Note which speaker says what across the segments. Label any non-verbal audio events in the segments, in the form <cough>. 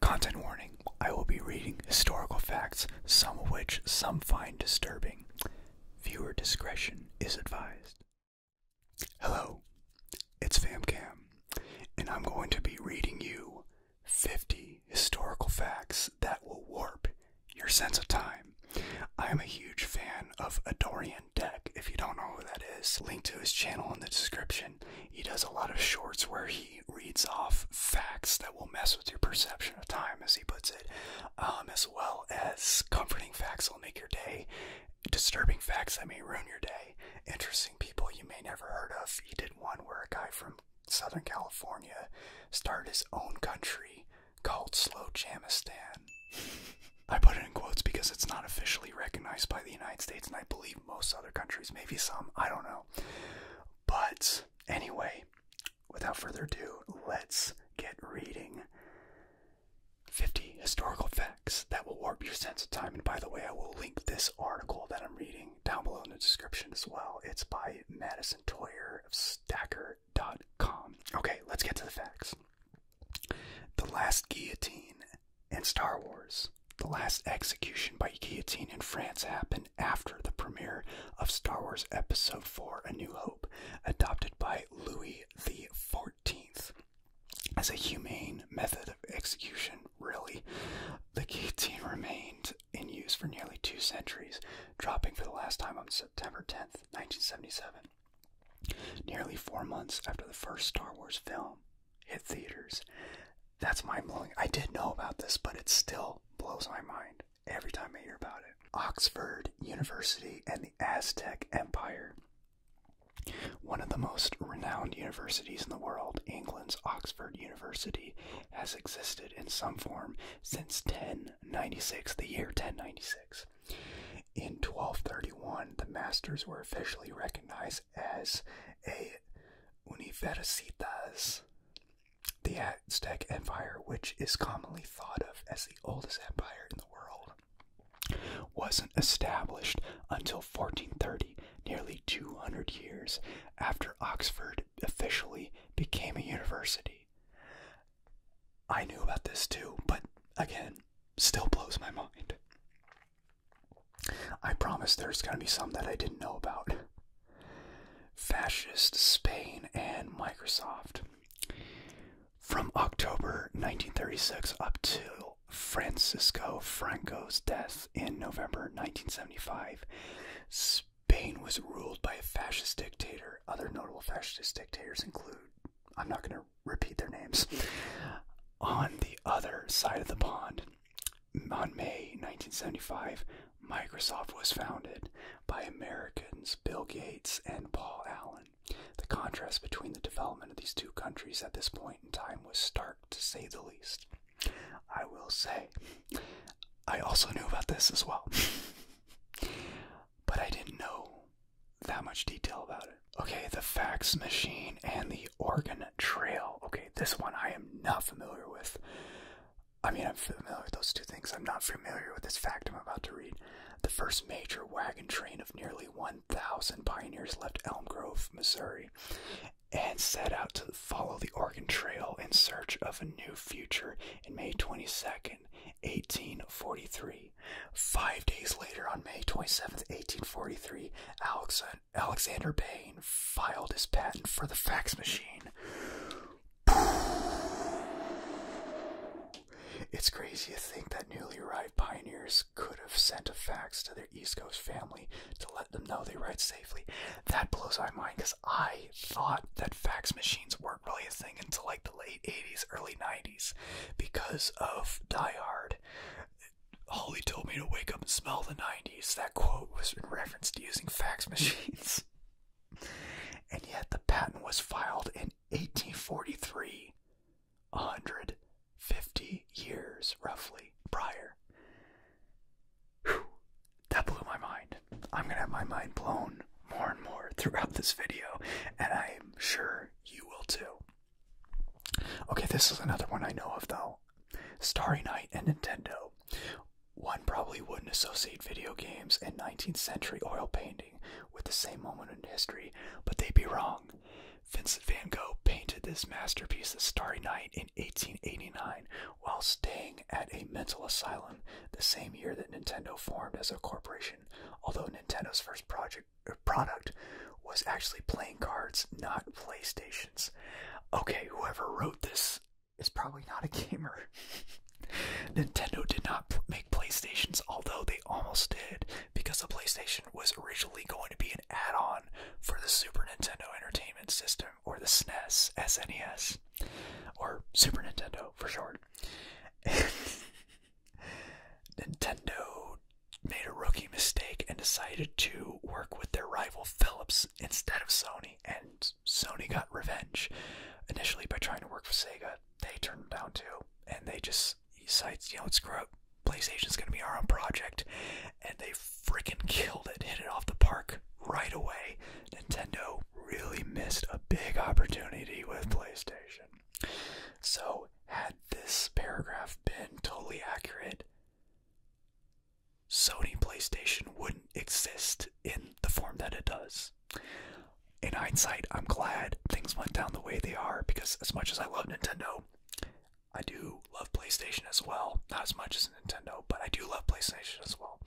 Speaker 1: Content warning I will be reading historical facts, some of which some find disturbing. Viewer discretion is advised. Hello, it's FamCam, and I'm going to be reading you 50 historical facts that will warp your sense of time. I'm a huge fan of Adorian Deck. If you don't know who that is, link to his channel in the description. He does a lot of shorts where he he reads off facts that will mess with your perception of time, as he puts it, um, as well as comforting facts that'll make your day, disturbing facts that may ruin your day, interesting people you may never heard of. He did one where a guy from Southern California started his own country called Slow Jamistan. I put it in quotes because it's not officially recognized by the United States, and I believe most other countries, maybe some, I don't know. But anyway, without further ado, let's get reading 50 historical facts that will warp your sense of time. And by the way, I will link this article that I'm reading down below in the description as well. It's by Madison Toyer of Stacker.com. Okay, let's get to the facts. The last guillotine and Star Wars. The last execution by guillotine in France happened after the premiere of Star Wars Episode 4 A New Hope, adopted by Louis XIV as a humane method of execution, really. The guillotine remained in use for nearly two centuries, dropping for the last time on September 10th, 1977, nearly four months after the first Star Wars film hit theaters. That's mind blowing. I did know about this, but it still blows my mind every time I hear about it. Oxford University and the Aztec Empire. One of the most renowned universities in the world, England's Oxford University has existed in some form since 1096, the year 1096. In 1231, the masters were officially recognized as a universitas. The Aztec Empire, which is commonly thought of as the oldest empire in the world, wasn't established until 1430, nearly 200 years after Oxford officially became a university. I knew about this too, but again, still blows my mind. I promise there's going to be some that I didn't know about. Fascist Spain and Microsoft. From October 1936 up to Francisco Franco's death in November 1975, Spain was ruled by a fascist dictator. Other notable fascist dictators include, I'm not going to repeat their names. On the other side of the pond, on May 1975, Microsoft was founded by Americans Bill Gates and Paul Allen. The contrast between the development of these two countries at this point in time was stark, to say the least. I will say, I also knew about this as well, <laughs> but I didn't know that much detail about it. Okay, the fax machine and the Oregon Trail. Okay this one I am not familiar with. I mean, I'm familiar with those two things. I'm not familiar with this fact I'm about to read. The first major wagon train of nearly 1,000 pioneers left Elm Grove, Missouri, and set out to follow the Oregon Trail in search of a new future in May 22nd, 1843. Five days later, on May 27th, 1843, Alex Alexander Alexander Bain filed his patent for the fax machine. It's crazy to think that newly arrived pioneers could have sent a fax to their East Coast family to let them know they ride safely. That blows my mind because I thought that fax machines weren't really a thing until like the late 80s, early 90s because of Die Hard. Holly told me to wake up and smell the 90s. That quote was in reference to using fax <laughs> machines. and yet the patent was filed in 1843, 150 years roughly prior. that blew my mind. I'm going to have my mind blown more and more throughout this video, and I'm sure you will too. Okay, this is another one I know of though. Starry Night and Nintendo. One probably wouldn't associate video games and 19th century oil painting with the same moment in history, but they'd be wrong. Vincent van Gogh painted this masterpiece, The Starry Night, in 1889 while staying at a mental asylum the same year that Nintendo formed as a corporation, although Nintendo's first project, uh, product was actually playing cards, not PlayStations. Okay, whoever wrote this is probably not a gamer. <laughs> Nintendo did not make PlayStations, although they almost did, because the PlayStation was originally going to be an add-on for the Super Nintendo Entertainment System, or the SNES, or Super Nintendo for short. <laughs> Nintendo made a rookie mistake and decided to work with their rival Philips instead of Sony, and Sony got revenge initially by trying to work for Sega. They turned them down too, and they just cites, you know, screw up. PlayStation's gonna be our own project, and they freaking killed it, hit it off the park right away. Nintendo really missed a big opportunity with PlayStation. So, had this paragraph been totally accurate, Sony PlayStation wouldn't exist in the form that it does. In hindsight, I'm glad things went down the way they are because, as much as I love Nintendo, I do love PlayStation as well. Not as much as Nintendo, but I do love PlayStation as well.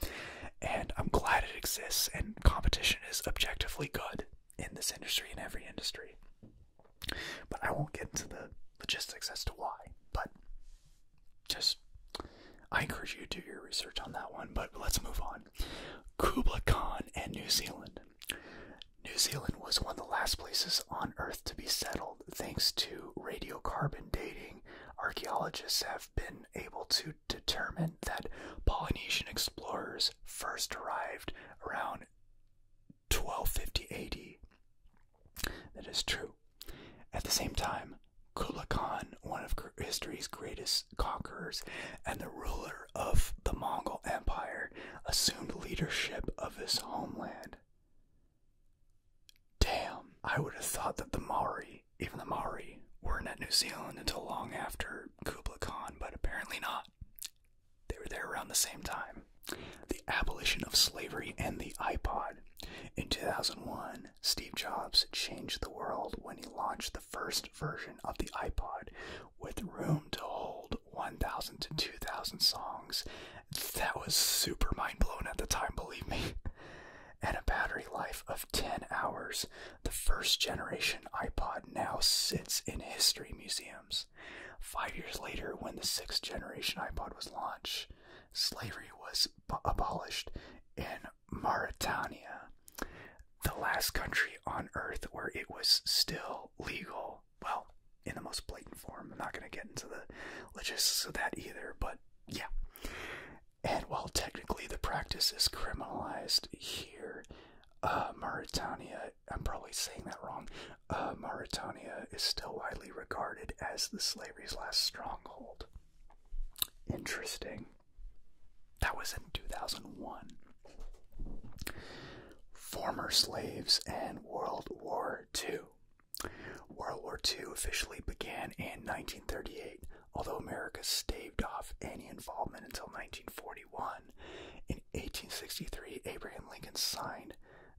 Speaker 1: And I'm glad it exists, and competition is objectively good in this industry, in every industry. But I won't get into the logistics as to why. But just I encourage you to do your research on that one, but let's move on. Kubla Khan and New Zealand. New Zealand was one of the last places on Earth to be settled thanks to radiocarbon dating. Archaeologists have been able to determine that Polynesian explorers first arrived around 1250 AD. That is true. At the same time, Kublai Khan, one of history's greatest conquerors and the ruler of the Mongol Empire, assumed leadership of his homeland. Damn, I would have thought that the Maori, even the Maori, weren't at New Zealand until long after Kublai Khan, but apparently not. They were there around the same time. The abolition of slavery and the iPod in 2001, Steve Jobs changed the world when he launched the first version of the iPod with room to hold 1,000 to 2,000 songs. That was super mind blowing at the time, believe me. <laughs> And a battery life of 10 hours, the first generation iPod now sits in history museums. Five years later, when the sixth generation iPod was launched, slavery was abolished in Mauritania, the last country on earth where it was still legal. Well, in the most blatant form. I'm not going to get into the logistics of that either, but yeah. And while technically the practice is criminalized here, uh, Mauritania, I'm probably saying that wrong, uh, Mauritania is still widely regarded as the slavery's last stronghold. Interesting. That was in 2001. Former slaves and World War II. World War II officially began in 1938, although America staved off any involvement until 1941. In 1863, Abraham Lincoln signed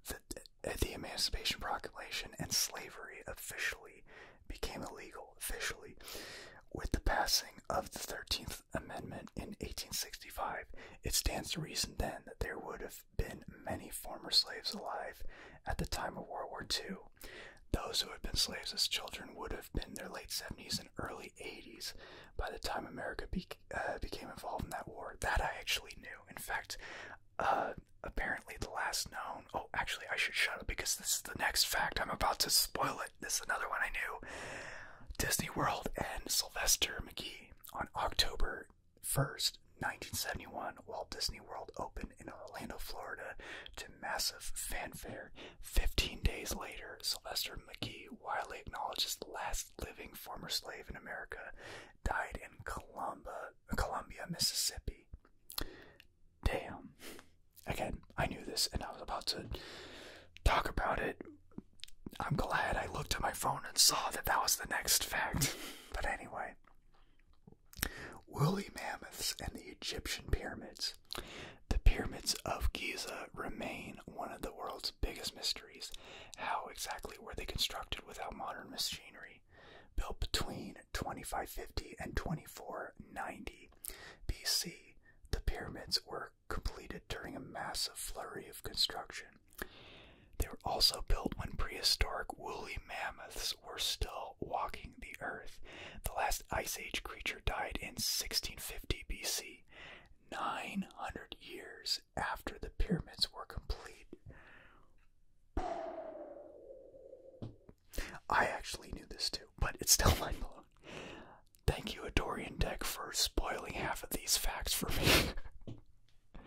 Speaker 1: the the Emancipation Proclamation and slavery officially became illegal, officially, with the passing of the 13th Amendment in 1865. It stands to reason then that there would have been many former slaves alive at the time of World War II. Those who had been slaves as children would have been their late 70s and early 80s by the time America uh, became involved in that war. That I actually knew. In fact, uh, apparently the last known. Oh, actually, I should shut up because this is the next fact. I'm about to spoil it. This is another one I knew. Disney World and Sylvester McGee on October 1st, 1971, Walt Disney World opened in Orlando, Florida, to massive fanfare. Fifteen days later, Sylvester McGee widely acknowledged as the last living former slave in America, died in Columba, Columbia, Mississippi. Damn. Again, I knew this and I was about to talk about it. I'm glad I looked at my phone and saw that that was the next fact. <laughs> but anyway, woolly mammoths and the Egyptian pyramids. The pyramids of Giza remain one of the world's biggest mysteries. How exactly were they constructed without modern machinery? Built between 2550 and 2490 BC, the pyramids were completed during a massive flurry of construction. They were also built when prehistoric woolly mammoths were still walking the earth. The last Ice Age creature died in 1650 BC, 900 years after the pyramids were complete. I actually knew this too, but it's still <laughs> mind blowing. Thank you, Adorian Deck, for spoiling half of these facts for me.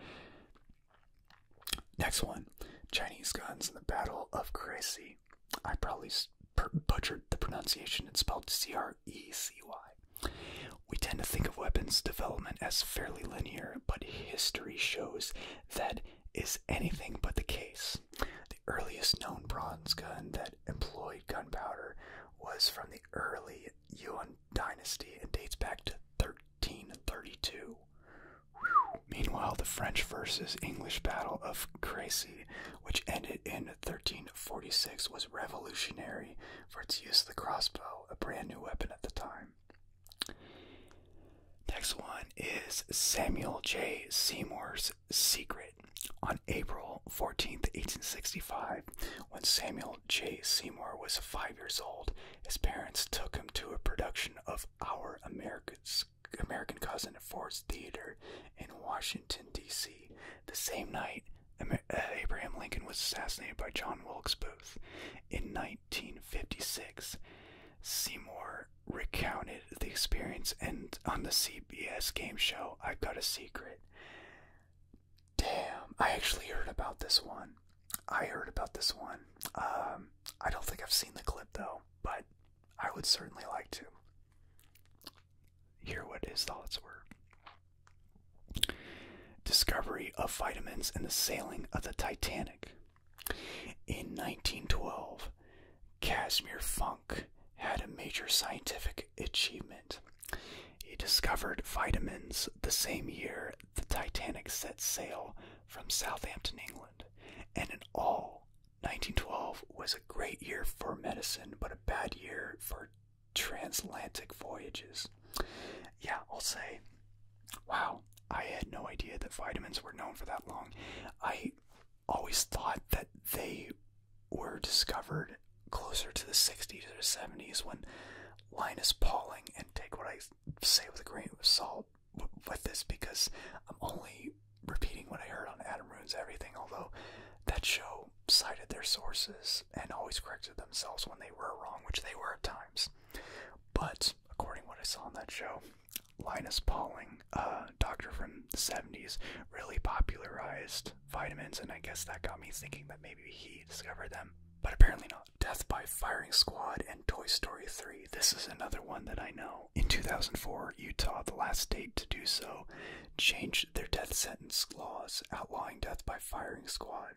Speaker 1: <laughs> Next one Chinese guns in the Battle of Crecy. I probably butchered the pronunciation It's spelled C R E C Y. We tend to think of weapons development as fairly linear, but history shows that is anything but the case. The earliest known bronze gun that employed gunpowder was from the early Yuan dynasty and dates back to 1332. Meanwhile, the French versus English Battle of Crécy, which ended in 1346, was revolutionary for its use of the crossbow, a brand new weapon at the time. Next one is Samuel J. Seymour's Secret. On April 14th, 1865, when Samuel J. Seymour was five years old, his parents took him to a production of Our America's, American Cousin at Ford's Theater in Washington, D.C. The same night, uh, Abraham Lincoln was assassinated by John Wilkes Booth. In, 1956, Seymour recounted the experience, and on the CBS game show, I've Got a Secret. Damn, I actually heard about this one. I heard about this one. Um, I don't think I've seen the clip though, but I would certainly like to hear what his thoughts were. Discovery of vitamins and the sailing of the Titanic. In 1912, Casimir Funk had a major scientific achievement. He discovered vitamins the same year the Titanic set sail from Southampton, England, and in all, 1912 was a great year for medicine, but a bad year for transatlantic voyages. Yeah, I'll say, wow, I had no idea that vitamins were known for that long. I always thought that they were discovered closer to the 60s or 70s when Linus Pauling, and take what I say with a grain of salt with this because I'm only repeating what I heard on Adam Ruins Everything, although that show cited their sources and always corrected themselves when they were wrong, which they were at times. But according to what I saw on that show, Linus Pauling, uh, doctor from the 70s, really popularized vitamins, and I guess that got me thinking that maybe he discovered them. But apparently not. Death by Firing Squad and Toy Story 3. This is another one that I know. In 2004, Utah, the last state to do so, changed their death sentence laws, outlawing death by firing squad.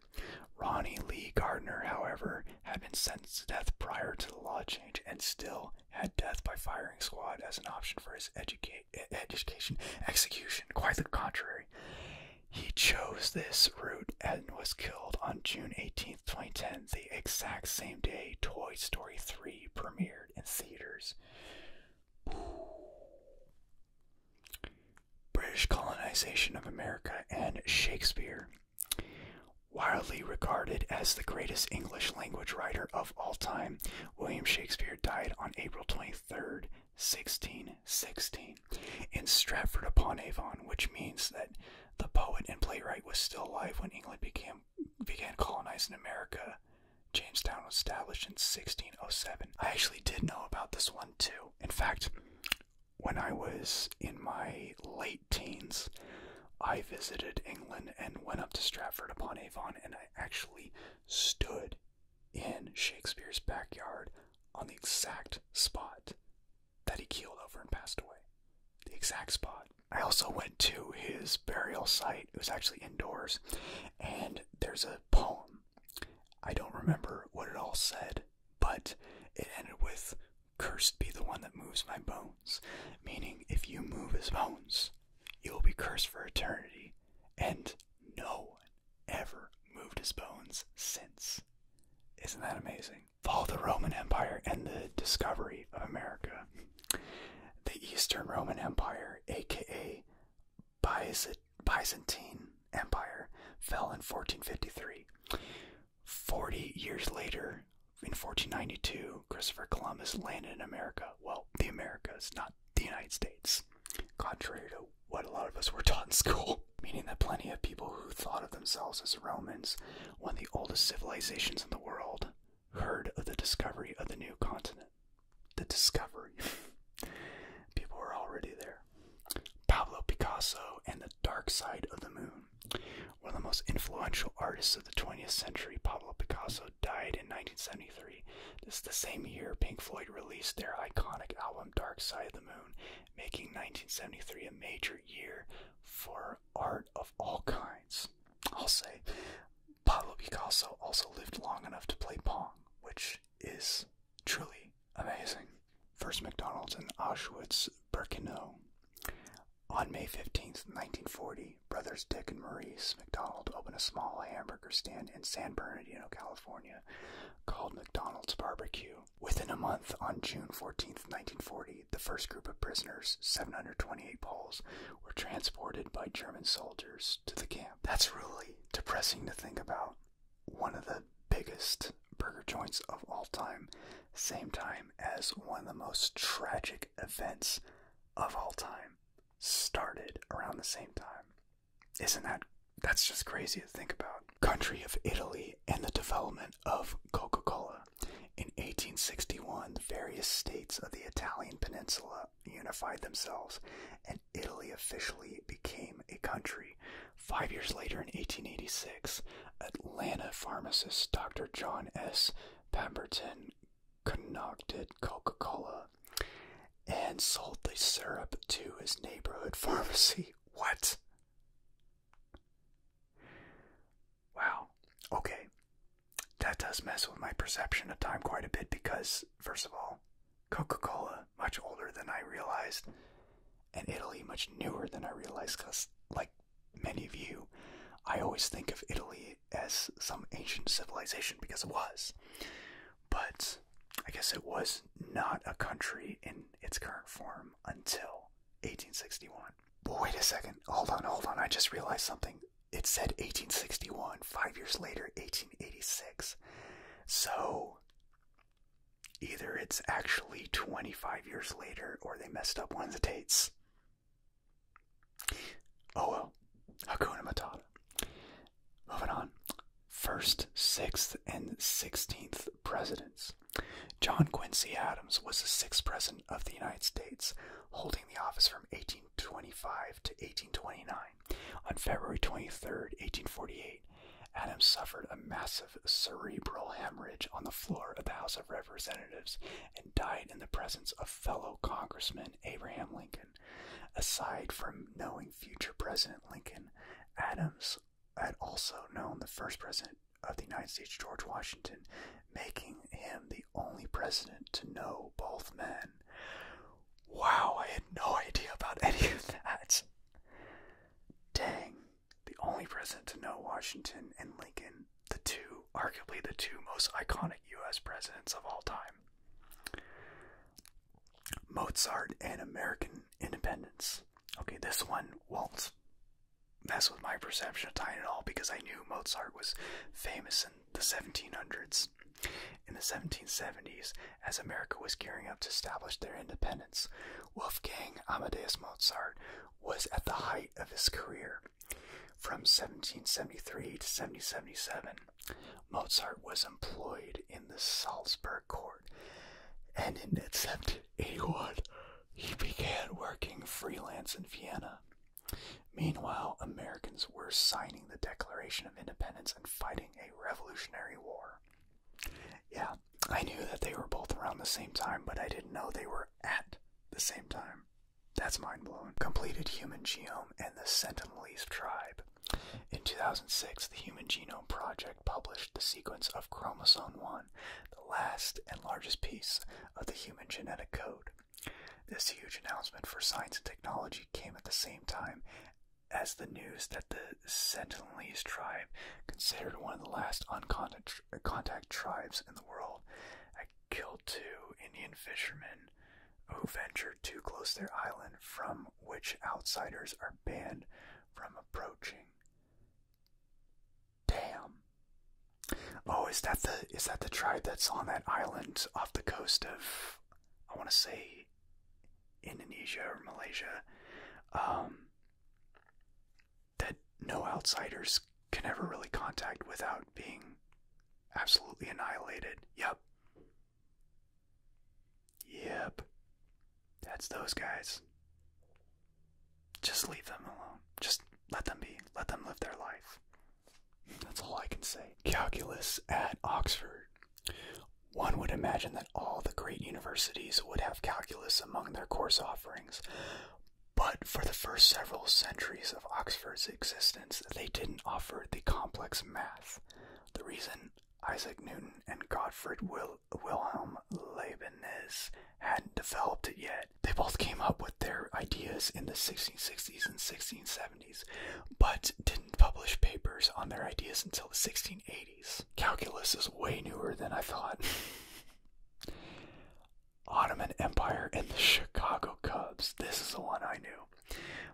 Speaker 1: Ronnie Lee Gardner, however, had been sentenced to death prior to the law change and still had death by firing squad as an option for his education execution. Quite the contrary. He chose this route and was killed on June 18, 2010, the exact same day Toy Story 3 premiered in theaters. British colonization of America and Shakespeare. Wildly regarded as the greatest English language writer of all time, William Shakespeare died on April 23rd, 1616, in Stratford upon Avon, which means that the poet and playwright was still alive when England began colonizing America. Jamestown was established in 1607. I actually did know about this one too. In fact, when I was in my late teens, I visited England and went up to Stratford upon Avon, and I actually stood in Shakespeare's backyard on the exact spot that he keeled over and passed away. The exact spot. I also went to his burial site. It was actually indoors, and there's a poem. I don't remember what it all said, but it ended with Cursed be the one that moves my bones. Meaning, if you move his bones, you will be cursed for eternity. And no one ever moved his bones since. Isn't that amazing? Follow the Roman Empire and the discovery of America. The Eastern Roman Empire, aka Byzantine Empire, fell in 1453. 40 years later, in 1492, Christopher Columbus landed in America. Well, the Americas, not the United States, contrary to what a lot of us were taught in school. <laughs> Meaning that plenty of people who thought of themselves as Romans, one of the oldest civilizations in the world, heard of the discovery of the new continent. The discovery. <laughs> people were already there. Pablo Picasso and the dark side of the moon. One of the most influential artists of the 20th century, Pablo Picasso, died in 1973. This is the same year Pink Floyd released their iconic album Dark Side of the Moon, making 1973 a major year for art of all kinds. I'll say Pablo Picasso also lived long enough to play Pong, which is truly amazing. First McDonald's and Auschwitz Birkenau. On May 15, 1940, brothers Dick and Maurice McDonald opened a small hamburger stand in San Bernardino, California, called McDonald's Barbecue. Within a month, on June 14, 1940, the first group of prisoners, 728 Poles, were transported by German soldiers to the camp. That's really depressing to think about. One of the biggest burger joints of all time, same time as one of the most tragic events of all time started around the same time. Isn't that that's just crazy to think about? Country of Italy and the development of Coca-Cola. In 1861, the various states of the Italian peninsula unified themselves and Italy officially became a country. Five years later, in 1886, Atlanta pharmacist Dr. John S. Pemberton concocted Coca Cola and sold the syrup to his neighborhood <laughs> pharmacy. What? Wow. Okay. That does mess with my perception of time quite a bit because, first of all, Coca Cola, much older than I realized, and Italy, much newer than I realized because, like, many of you, I always think of Italy as some ancient civilization because it was. But I guess it was not a country in its current form until 1861. But wait a second, hold on, hold on, I just realized something. It said 1861, five years later, 1886. So either it's actually 25 years later or they messed up one of the dates. Oh well, Hakuna Matata. Moving on. First, sixth, and sixteenth presidents. John Quincy Adams was the sixth president of the United States, holding the office from 1825 to 1829. On February 23, 1848, Adams suffered a massive cerebral hemorrhage on the floor of the House of Representatives died in the presence of fellow Congressman Abraham Lincoln. Aside from knowing future President Lincoln, Adams had also known the first president of the United States, George Washington, making him the only president to know both men. Wow, I had no idea about any of that. Dang, the only president to know Washington and Lincoln the two, arguably the two most iconic U.S. presidents of all time. Mozart and American Independence. Okay, this one won't mess with my perception of time at all because I knew Mozart was famous in the 1700s. In the 1770s, as America was gearing up to establish their independence, Wolfgang Amadeus Mozart was at the height of his career. From 1773 to 1777, Mozart was employed in the Salzburg court, and in 1781, he began working freelance in Vienna. Meanwhile, Americans were signing the Declaration of Independence and fighting a revolutionary war. Yeah, I knew that they were both around the same time, but I didn't know they were at the same time. That's mind blowing. Completed human genome and the Sentinelese tribe. In 2006, the Human Genome Project published the sequence of chromosome 1, the last and largest piece of the human genetic code. This huge announcement for science and technology came at the same time as the news that the Sentinelese tribe, considered one of the last uncontacted contact tribes in the world. I killed two Indian fishermen who ventured too close their island, from which outsiders are banned from approaching. Damn. Oh, is that the is that the tribe that's on that island off the coast of I want to say Indonesia or Malaysia? Um, that no outsiders can never really contact without being absolutely annihilated. Yep. Yep. That's those guys. Just leave them alone. Just let them be. Let them live their life. That's all I can say. Calculus at Oxford. One would imagine that all the great universities would have calculus among their course offerings, but for the first several centuries of Oxford's existence, they didn't offer the complex math. The reason Isaac Newton and Gottfried Wilhelm Leibniz hadn't developed it yet. They both came up with their ideas in the 1660s and 1670s, but didn't publish papers on their ideas until the 1680s. Calculus is way newer than I thought. <laughs> Ottoman Empire and the Chicago Cubs. This is the one I knew.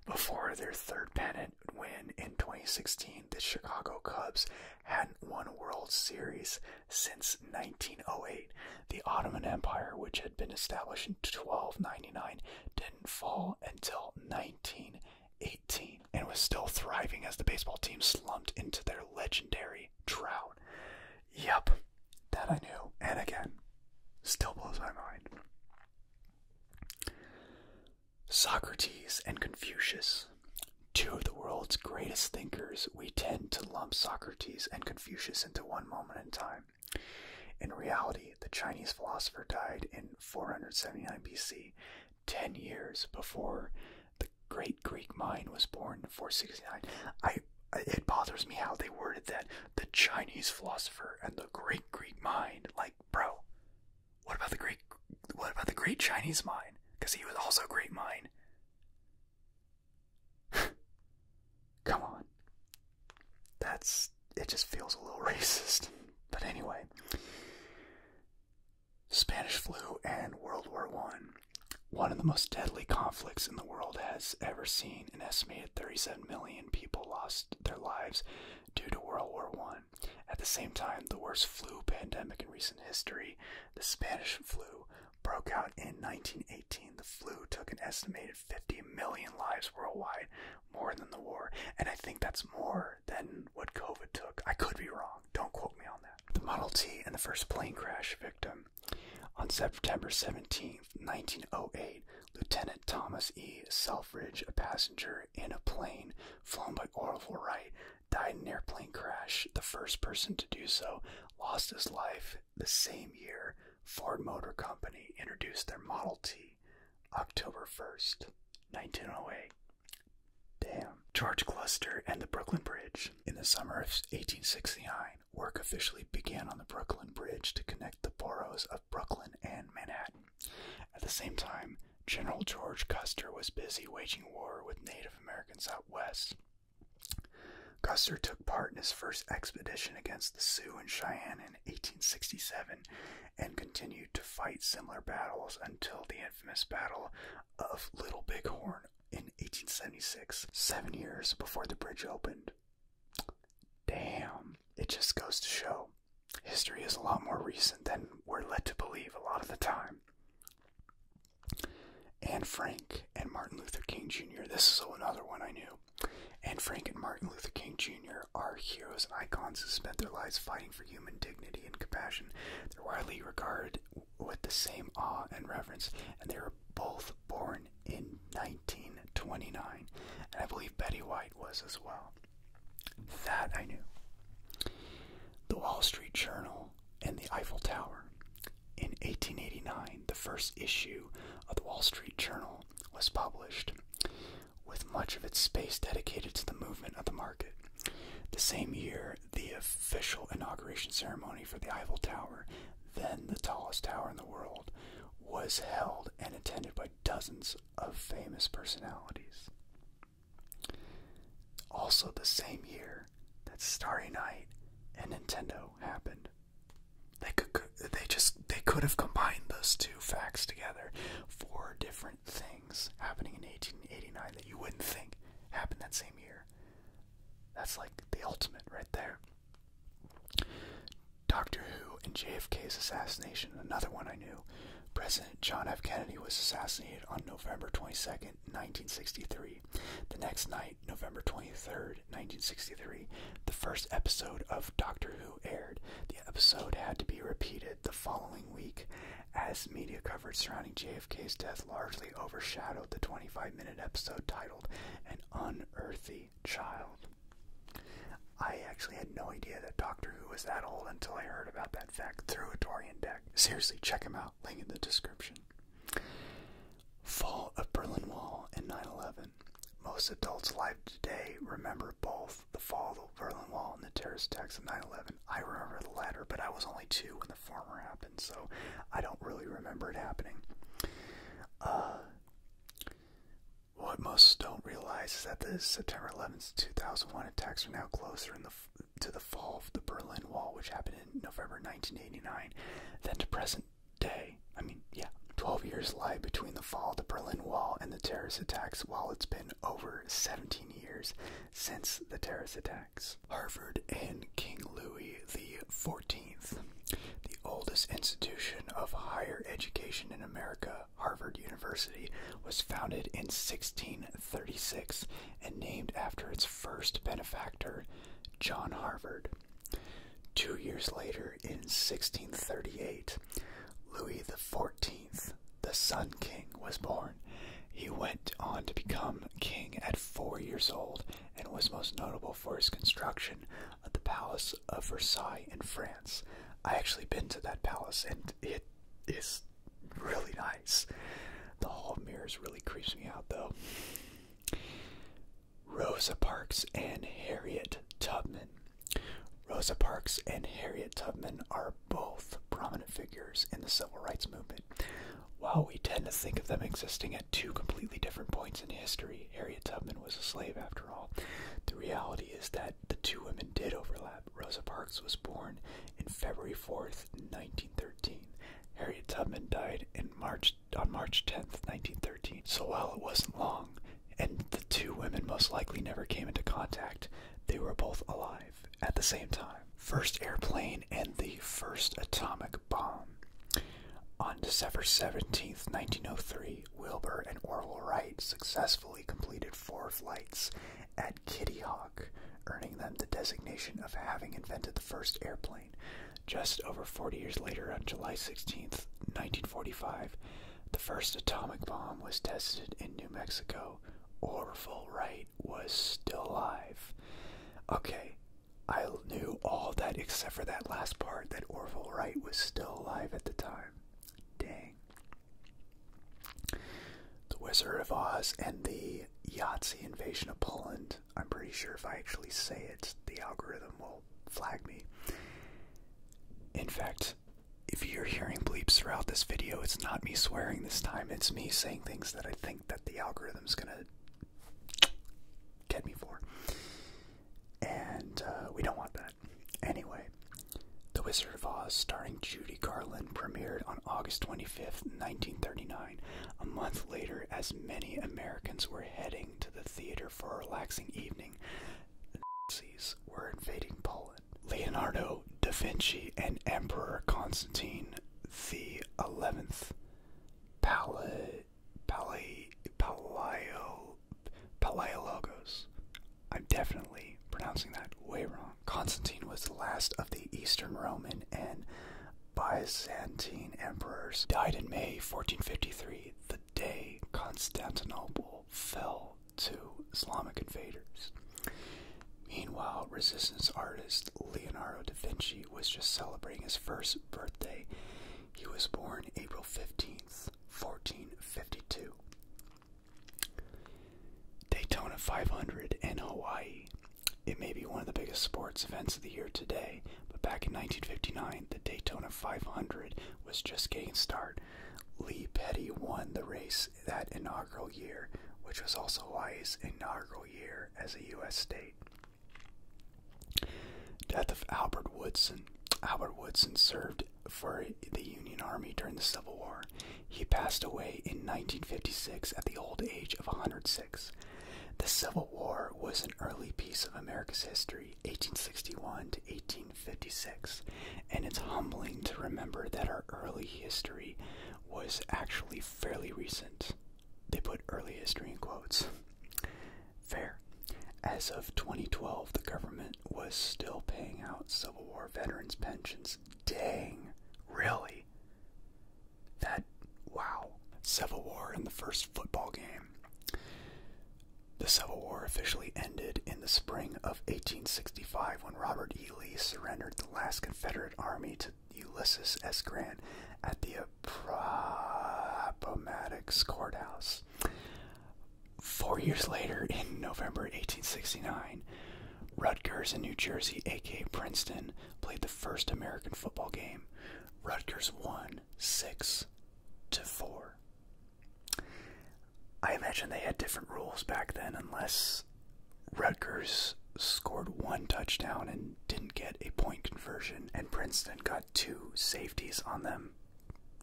Speaker 1: Before their third pennant win in 2016, the Chicago Cubs hadn't won World Series since 1908. The Ottoman Empire, which had been established in 1299, didn't fall until 1918 and was still thriving as the baseball team slumped into their legendary drought. Yep, that I knew. And again, still blows my mind. Socrates and Confucius, two of the world's greatest thinkers, we tend to lump Socrates and Confucius into one moment in time. In reality, the Chinese philosopher died in 479 BC, 10 years before the great Greek mind was born in 469. I it bothers me how they worded that the Chinese philosopher and the great Greek mind. Like, bro, what about the great? What about the great Chinese mind? Because he was also a great mind. <laughs> Come on, that's it. Just feels a little <laughs> racist. But anyway, Spanish flu and World War One. One of the most deadly conflicts in the world has ever seen. An estimated 37 million people lost their lives due to World War I. At the same time, the worst flu pandemic in recent history, the Spanish flu, broke out in 1918. The flu took an estimated 50 million lives worldwide, more than the war. And I think that's more than what COVID took. I could be wrong. Don't quote me on that. The Model T and the first plane crash victim on September seventeenth, nineteen 1908, Lieutenant Thomas E. Selfridge, a passenger in a plane flown by Orville Wright, died in airplane crash. The first person to do so lost his life the same year. Ford Motor Company introduced their Model T October 1st, 1908. Damn. George Cluster and the Brooklyn Bridge. In the summer of 1869, work officially began on the Brooklyn Bridge to connect the boroughs of Brooklyn and Manhattan. At the same time, General George Custer was busy waging war with Native Americans out west. Custer took part in his first expedition against the Sioux and Cheyenne in 1867 and continued to fight similar battles until the infamous Battle of Little Bighorn in 1876, seven years before the bridge opened it. Damn. It just goes to show. History is a lot more recent than we're led to believe a lot of the time. Anne Frank and Martin Luther King Jr. This is another one I knew. Anne Frank and Martin Luther King Jr. are heroes icons who spent their lives fighting for human dignity and compassion. They're widely regarded with the same awe and reverence, and they were both born in 1929, and I believe Betty White was as well. That I knew. The Wall Street Journal and the Eiffel Tower. In 1889, the first issue of the Wall Street Journal was published, with much of its space dedicated to the movement of the market. The same year, the official inauguration ceremony for the Eiffel Tower, then the tallest tower in the world, was held and attended by dozens of famous personalities. Also, the same year that Starry Night and Nintendo happened, they could they just they could have combined those two facts together. Four different things happening in 1889 that you wouldn't think happened that same year. That's like the ultimate right there. Doctor Who and JFK's assassination, another one I knew. President John F. Kennedy was assassinated on November twenty-second, 1963. The next night, November twenty-third, 1963, the first episode of Doctor Who aired. The episode had to be repeated the following week, as media coverage surrounding JFK's death largely overshadowed the 25 minute episode titled An Unearthly child. I actually had no idea that Doctor Who was that old until I heard about that fact through a Dorian deck. Seriously, check him out. Link in the description. Fall of Berlin Wall and 9 11. Most adults alive today remember both the fall of the Berlin Wall and the terrorist attacks of 9 11. I remember the latter, but I was only two when the former happened, so I don't really remember it happening. Uh, what most don't realize is that the September 11th, 2001 attacks are now closer in the, to the fall of the Berlin Wall, which happened in November 1989, than to present day. I mean, yeah, 12 years lie between the fall of the Berlin Wall and the terrorist attacks, while it's been over 17 years since the terrorist attacks. Harvard and King Louis the XIV the oldest institution of higher education in America, Harvard University, was founded in 1636 and named after its first benefactor, John Harvard. Two years later, in 1638, Louis XIV, the Sun King, was born. He went on to become king at four years old and was most notable for his construction of the Palace of Versailles in France. I actually been to that palace and it is really nice. The Hall of Mirrors really creeps me out though. Rosa Parks and Harriet Tubman. Rosa Parks and Harriet Tubman are both prominent figures in the civil rights movement. While we tend to think of them existing two completely different points in history. Harriet Tubman was a slave, after all. The reality is that the two women did overlap. Rosa Parks was born in February 4th, 1913. Harriet Tubman died in March on March 10th, 1913. So while it wasn't long, and the two women most likely never came into contact, they were both alive at the same time. First airplane and the first atomic bomb. On December 17, 1903, Wilbur and Orville Wright successfully completed four flights at Kitty Hawk, earning them the designation of having invented the first airplane. Just over 40 years later, on July 16, 1945, the first atomic bomb was tested in New Mexico. Orville Wright was still alive. Okay, I knew all that except for that last part that Orville Wright was still alive at the time. Dang. The Wizard of Oz and the Yahtzee invasion of Poland. I'm pretty sure if I actually say it, the algorithm will flag me. In fact, if you're hearing bleeps throughout this video, it's not me swearing this time. It's me saying things that I think that the algorithm's gonna get me for and uh, we don't want that. Anyway, The Wizard of Oz, starring Judy Garland, premiered on August 25th, 1939. A month later, as many Americans were heading to the theater for a relaxing evening, the Nazis were invading Poland. Leonardo da Vinci and Emperor Constantine the 11th Pallid Palaio Palaiologos. I'm definitely pronouncing that way wrong. Constantine was the last of the Eastern Roman and Byzantine emperors. Died in May 1453, the day Constantinople fell to Islamic invaders. Meanwhile, resistance artist Leonardo da Vinci was just celebrating his first birthday. He was born April 15th. 1452. Daytona 500 in Hawaii. It may be one of the biggest sports events of the year today, but back in 1959, the Daytona 500 was just getting started. Lee Petty won the race that inaugural year, which was also Hawaii's inaugural year as a U.S. state. Death of Albert Woodson. Albert Woodson served for the Union Army during the Civil War. He passed away in 1956 at the old age of 106. The Civil War was an early piece of America's history, 1861 to 1856, and it's humbling to remember that our early history was actually fairly recent. They put early history in quotes. Fair. As of 2012, the government was still paying out Civil War veterans' pensions. Dang, really? That, wow. Civil War in the first football game. The Civil War officially ended in the spring of 1865 when Robert E. Lee surrendered the last Confederate army to Ulysses S. Grant at the Appomattox Courthouse. Four years later, in November 1869, Rutgers in New Jersey, aka Princeton, played the first American football game. Rutgers won six to four. I imagine they had different rules back then, unless Rutgers scored one touchdown and didn't get a point conversion, and Princeton got two safeties on them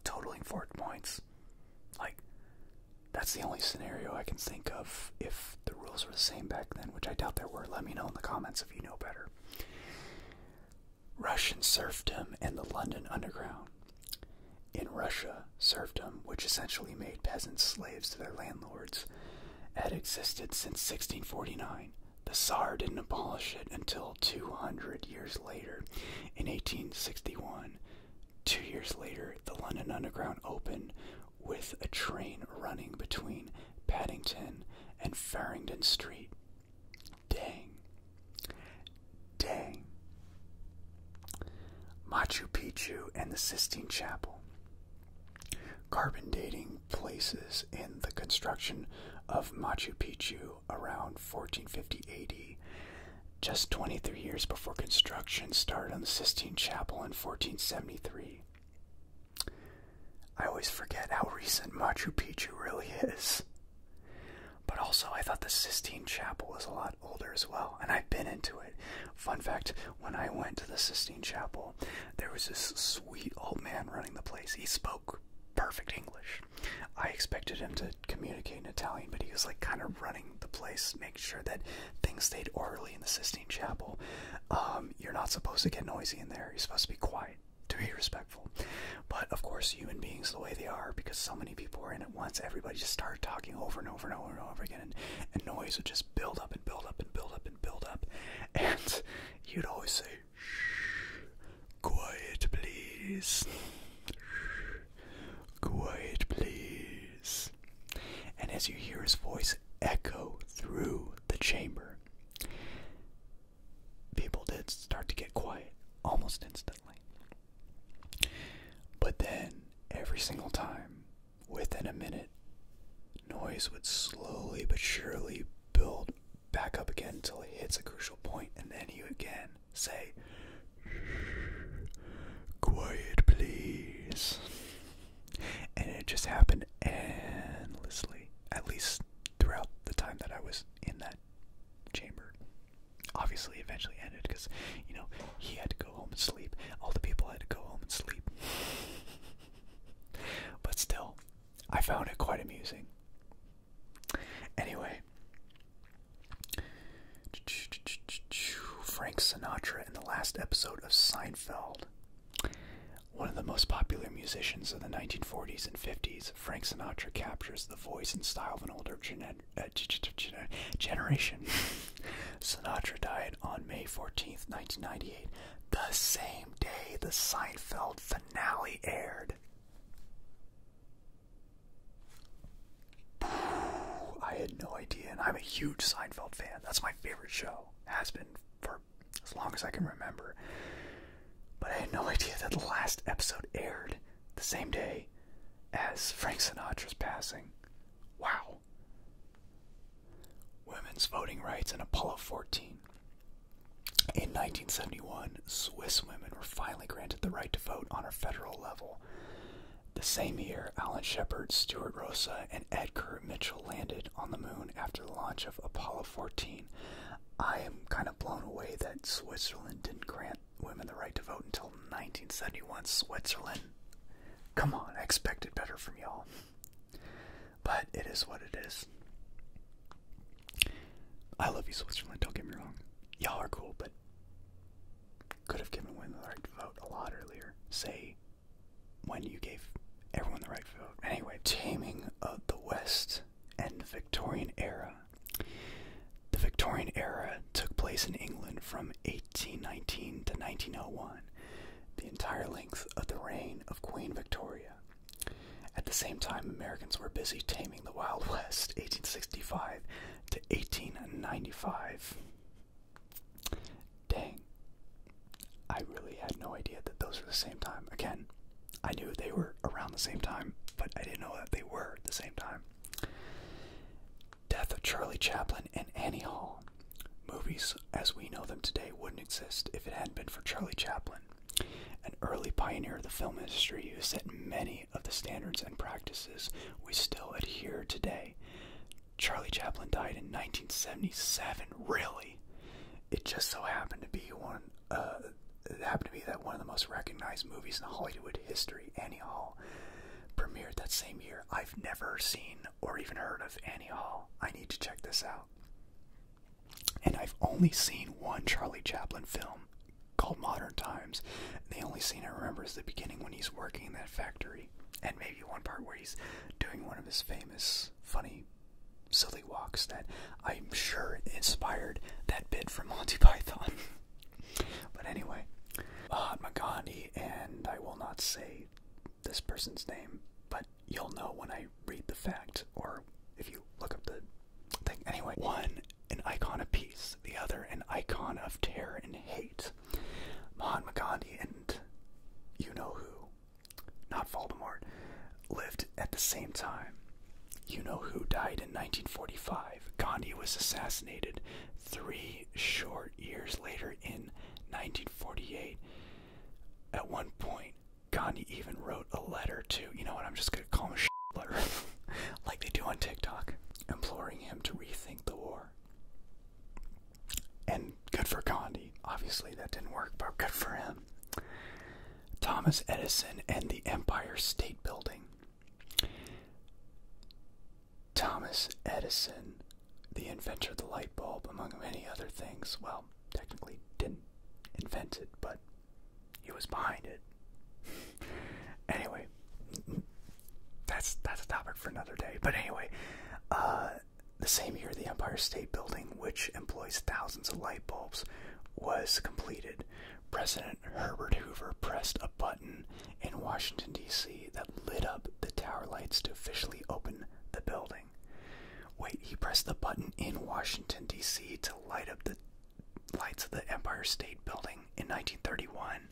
Speaker 1: totaling four points. Like, that's the only scenario I can think of if the rules were the same back then, which I doubt there were. Let me know in the comments if you know better. Russian serfdom and the London Underground. In Russia, serfdom, which essentially made peasants slaves to their landlords, had existed since 1649. The Tsar didn't abolish it until 200 years later. In 1861, two years later, the London Underground opened with a train running between Paddington and Farringdon Street. Dang. Dang. Machu Picchu and the Sistine Chapel. Carbon dating places in the construction of Machu Picchu around 1450 just 23 years before construction started on the Sistine Chapel in 1473. I always forget how recent Machu Picchu really is. But also, I thought the Sistine Chapel was a lot older as well, and I've been into it. Fun fact when I went to the Sistine Chapel, there was this sweet old man running the place. He spoke perfect English. I expected him to communicate in Italian, but he was like kind of running the place, making sure that things stayed orderly in the Sistine Chapel. Um, you're not supposed to get noisy in there. You're supposed to be quiet, to be respectful. But of course, human beings, the way they are, because so many people are in at once, everybody just started talking over and over and over and over again, and noise would just build up and build up and build up and build up. <laughs> And you'd always say, shh. Quiet, please. Quiet, please. And as you hear his voice echo through the chamber, people did start to get quiet almost instantly. But then, every single time, within a minute, noise would slowly but surely build back up again until it hits a crucial point, and then you again say, Shh, quiet please. And it just happened endlessly, at least throughout the time that I was in that chamber. Obviously, eventually ended because, you know, he had to go home and sleep. All the people had to go home and sleep. <laughs> But still, I found it quite amusing. Anyway, Frank Sinatra in the last episode of Seinfeld. One of the most popular musicians of the 1940s and 50s, Frank Sinatra captures the voice and style of an older uh, generation. <laughs> Sinatra died on May 14, 1998, the same day the Seinfeld finale aired. I had no idea, and I'm a huge Seinfeld fan. That's my favorite show. Has been for as long as I can remember. But I had no <laughs> idea that the last episode aired the same day as Frank Sinatra's passing. Wow. Women's voting rights in Apollo 14. In 1971, Swiss women were finally granted the right to vote on a federal level. The same year, Alan Shepard, Stuart Rosa, and Edgar Mitchell landed on the moon after the launch of Apollo 14. I am kind of blown away that Switzerland didn't grant women the right to vote until 1971. Switzerland, come on, I expected better from y'all. But it is what it is. I love you, Switzerland. Don't get me wrong. Y'all are cool, but could have given women the right to vote a lot earlier. Say when you gave everyone the right to vote. Anyway, taming of the West and Victorian era. The Victorian era took place in England from 1819 to 1901, the entire length of the reign of Queen Victoria. At the same time, Americans were busy taming the Wild West, 1865 to 1895. Dang. I really had no idea that those were the same time. Again, I knew they were around the same time, but I didn't know that they were at the same time. Death of Charlie Chaplin and Annie Hall. Movies as we know them today wouldn't exist if it hadn't been for Charlie Chaplin, an early pioneer of the film industry who set many of the standards and practices we still adhere today. Charlie Chaplin died in 1977. Really, it just so happened to be one. Uh, it happened to be that one of the most recognized movies in Hollywood history, Annie Hall, premiered that same year. I've never seen or even heard of Annie Hall. I need to check this out. And I've only seen one Charlie Chaplin film, called Modern Times. the only scene I remember is the beginning when he's working in that factory, and maybe one part where he's doing one of his famous, funny, silly walks that I'm sure inspired that bit from <laughs> Monty Python. but anyway, Mahatma Gandhi, and I will not say this person's name, but you'll know when I read the fact or if you look up the thing. Anyway, one an icon of peace, the other an icon of terror and hate. Mahatma Gandhi and you know who, not Voldemort, lived at the same time. You know who died in 1945. Gandhi was assassinated three short years later in 1948. At one point, Gandhi even wrote a letter to you know what, I'm just gonna call him a shitler, <laughs> like they do on TikTok, imploring him to rethink the war. And good for Gandhi. Obviously, that didn't work, but good for him. Thomas Edison and the Empire State Building. Thomas Edison, the inventor of the light bulb, among many other things, well, technically didn't invent it, but he was behind it. anyway, that's that's a topic for another day. But anyway, uh, the same year, the Empire State Building, which employs thousands of light bulbs, was completed. President Herbert Hoover pressed a button in Washington, D.C. that lit up the tower lights to officially open the building. Wait, he pressed the button in Washington, D.C. to light up the lights of the Empire State Building in 1931.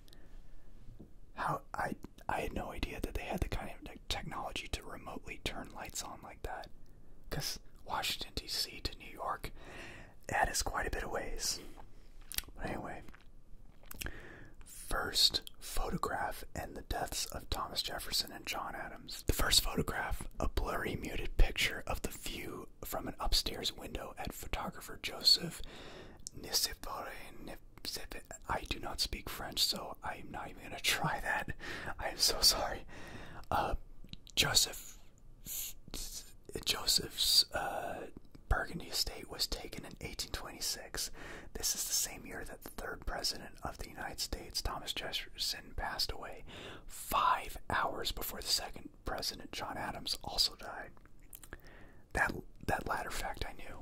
Speaker 1: How I I had no idea that they had the kind of technology to remotely turn lights on like that. Cause Washington D.C. to New York, that is quite a bit of ways. But anyway, first photograph and the deaths of Thomas Jefferson and John Adams. The first photograph, a blurry muted picture of the view from an upstairs window at photographer Joseph I do not speak French, so I'm not even gonna try that. I am so sorry. Uh, Joseph Joseph's uh, Burgundy estate was taken in 1826. This is the same year that the third president of the United States, Thomas Jefferson, passed away. Five hours before the second President John Adams also died. That that latter fact I knew,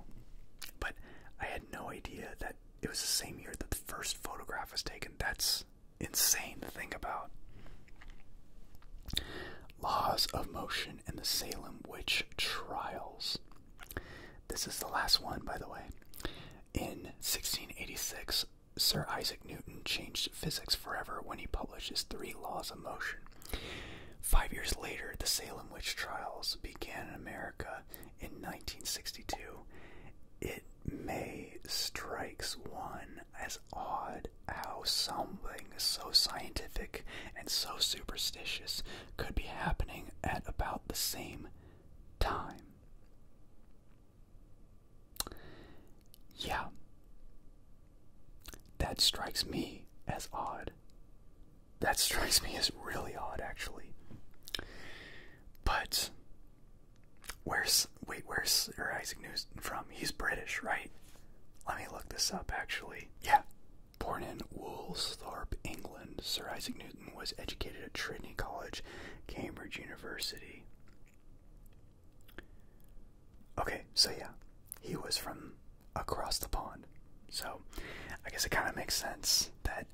Speaker 1: but I had no idea that it was the same year that the first photograph was taken. That's insane to think about. Laws of Motion and the Salem Witch Trials. This is the last one, by the way. In 1686, Sir Isaac Newton changed physics forever when he published his Three Laws of Motion. Five years later, the Salem witch trials began in America in 1962. It may strikes one as odd how something so scientific and so superstitious could be happening at about the same time. Yeah. That strikes me as odd. That strikes me as really odd, actually. But where's wait? Where's Sir Isaac Newton from? He's British, right? Let me look this up. Actually, yeah. Born in Woolsthorpe, England, Sir Isaac Newton was educated at Trinity College, Cambridge University. Okay, so yeah, he was from across the pond. So I guess it kind of makes sense that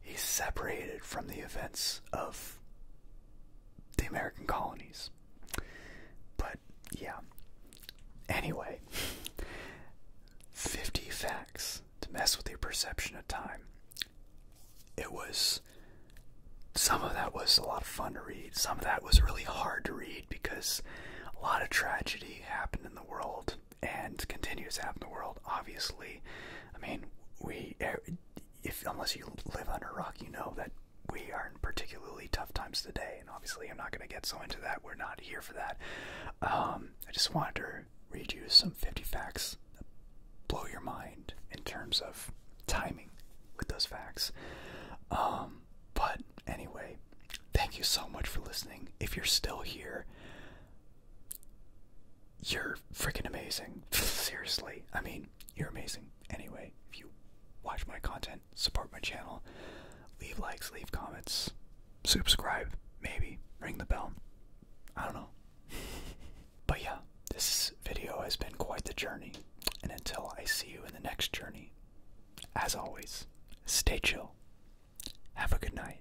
Speaker 1: he's separated from the events of the American colonies. But yeah. Anyway, 50 facts to mess with your perception of time. It was some of that was a lot of fun to read. Some of that was really hard to read because a lot of tragedy happened in the world and continues to happen in the world. Obviously, I mean, we if unless you live on a rock, you know that we are in particularly tough times today. And obviously, I'm not going to get so into that. We're not here for that. Um, I just wanted to read you some 50 facts that blow your mind in terms of timing with those facts. Um, but anyway, thank you so much for listening. If you're still here, you're freaking amazing. <laughs> Seriously. I mean, you're amazing. Anyway, if you watch my content, support my channel, leave likes, leave comments, subscribe, maybe, ring the bell. I don't know. <laughs> but yeah, this video has been quite the journey. And until I see you in the next journey, as always, stay chill. Have a good night.